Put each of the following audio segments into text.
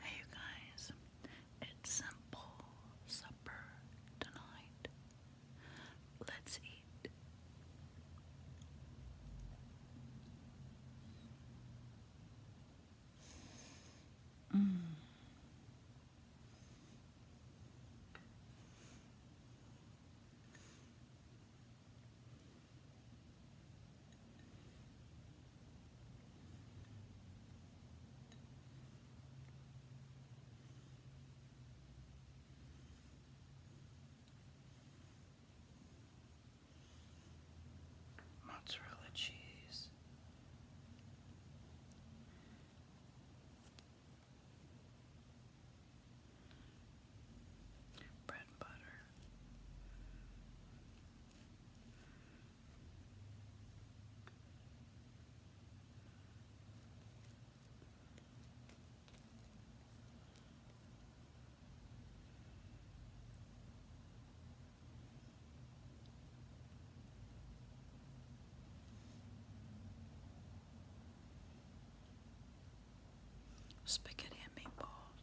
Hey, you guys, it's simple supper tonight. Let's eat. Mm mozzarella cheese bread and butter. Spaghetti and meatballs.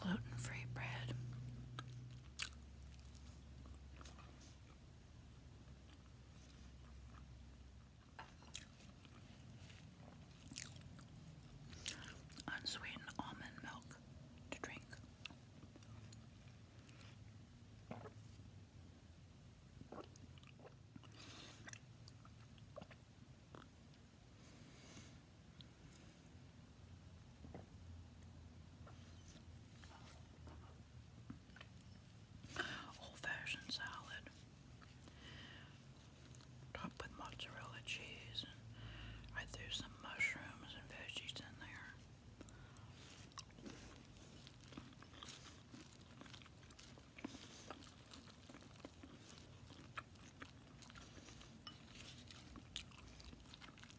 Gluten free bread. Unsweetened almond milk to drink. Old fashioned salad, topped with mozzarella cheese, and I threw some mushrooms and veggies in there.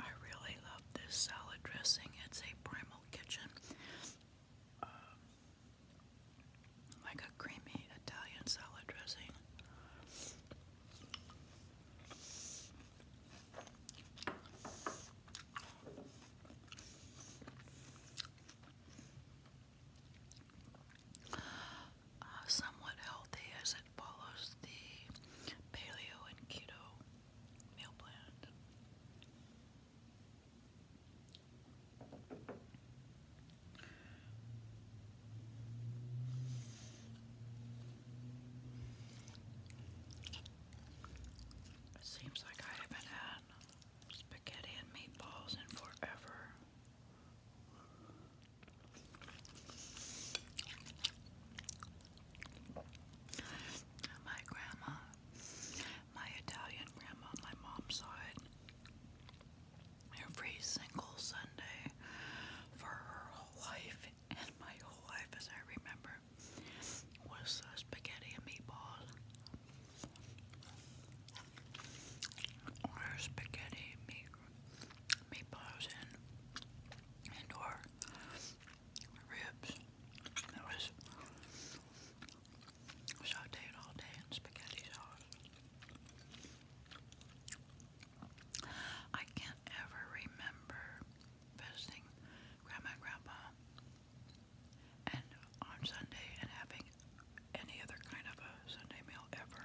I really love this salad dressing. It's a Primal Kitchen, um, like a creamy Italian salad dressing. Uh, somewhat healthy as it follows the paleo and keto meal plan. It seems like I haven't had spaghetti and meatballs in forever. My grandma, my Italian grandma on my mom's side, every single Sunday for her whole life, and my whole life as I remember, was uh, spaghetti and meatballs. Or spaghetti, meat, meatballs, and, and or ribs. It was sauteed all day in spaghetti sauce. I can't ever remember visiting Grandma Grandpa and on Sunday and having any other kind of a Sunday meal ever.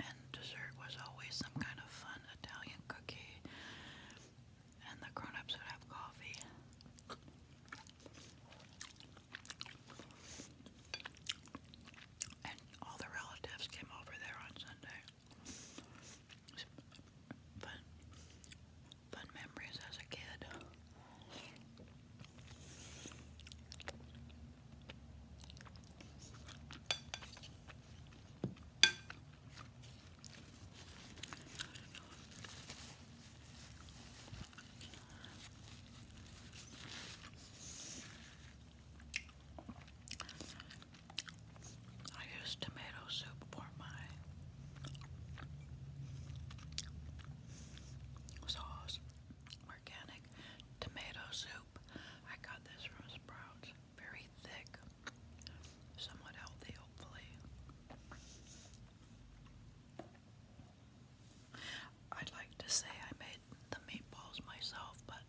And dessert was always some kind of fun Italian cookie, and the grown ups would have coffee. And all the relatives came over there on Sunday. Fun, fun memories as a kid. I use tomato soup for my sauce, my organic tomato soup. I got this from Sprouts. Very thick, somewhat healthy, hopefully. I'd like to say I made the meatballs myself, but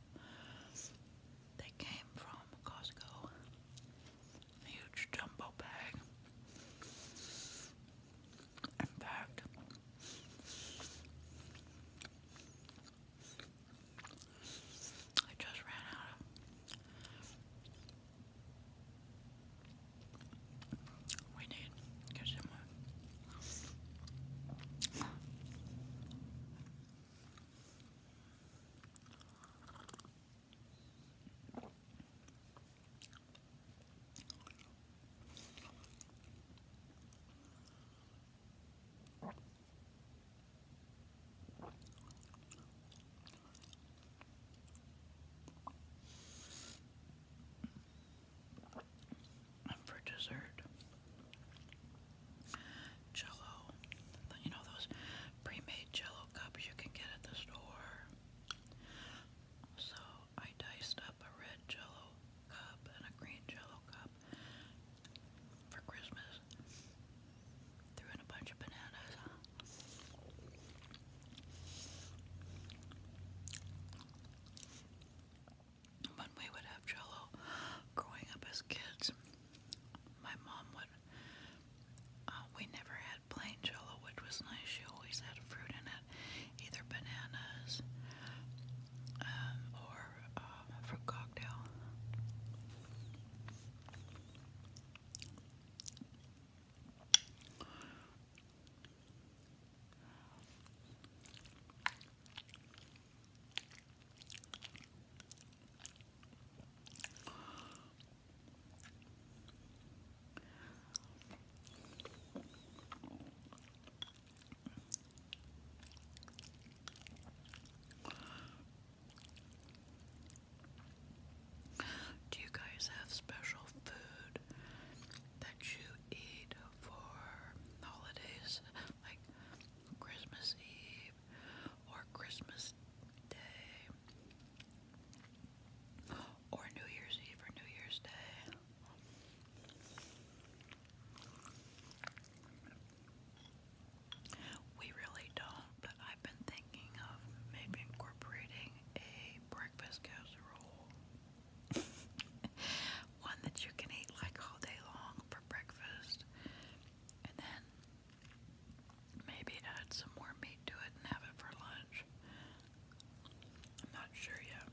they came from Costco. A huge jumbo bag. In fact, I just ran out We need and for dessert, jello. You know those pre made jello cups you can get at the store. So I diced up a red jello cup and a green jello cup for Christmas. Threw in a bunch of bananas. When we would have jello growing up as kids, my mom would. Uh, we never had plain jello, which was nice. She always had fruit in that either bananas um, or um, fruit cocktail. Do you guys have special food that you eat for holidays like Christmas Eve or Christmas Day or New Year's Eve or New Year's Day? We really don't, but I've been thinking of maybe incorporating a breakfast casserole. One that you can eat like all day long for breakfast. And then maybe add some more meat to it and have it for lunch. I'm not sure yet.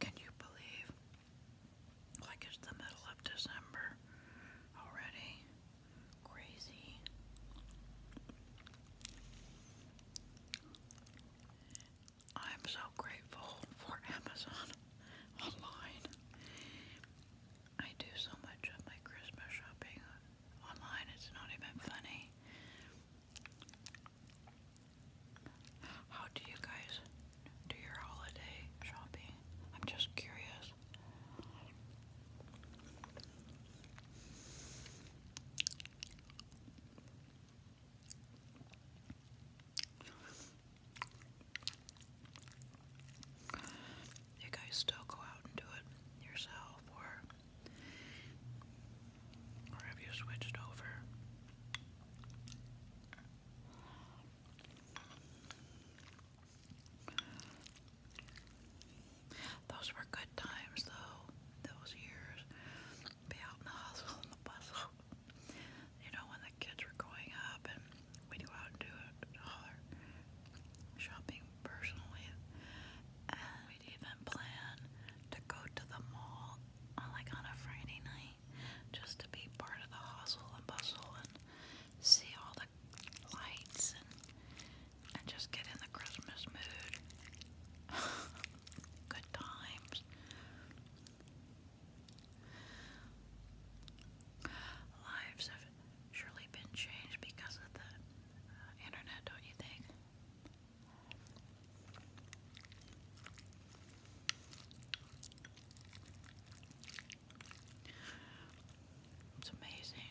Can you believe like it's the middle of December already. Crazy. I'm so grateful for Amazon online. I do so much of my Christmas shopping online, it's not even funny. How do you guys do your holiday shopping? I'm just curious. You guys still go out and do it yourself, or or have you switched over? Those were good times, though, those years. Be out in the hustle and the bustle. You know, when the kids were growing up and we'd go out and do all shopping personally. And we'd even plan to go to the mall uh, like on a Friday night just to be part of the hustle and bustle and see all the lights and just get in the Christmas mood. Good times. Lives have surely been changed because of the uh, internet, don't you think? It's amazing.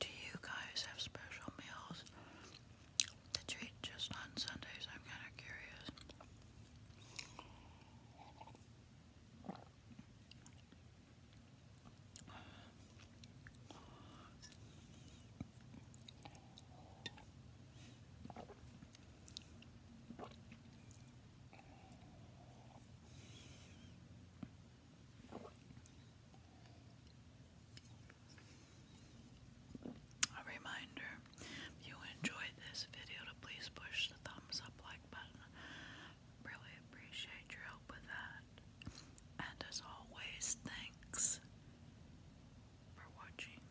Do you guys have special meals that you just on Sundays? I'm kind of curious. A reminder if you enjoyed this video to please push the thumbs up like button. Really appreciate your help with that. And as always, thanks for watching.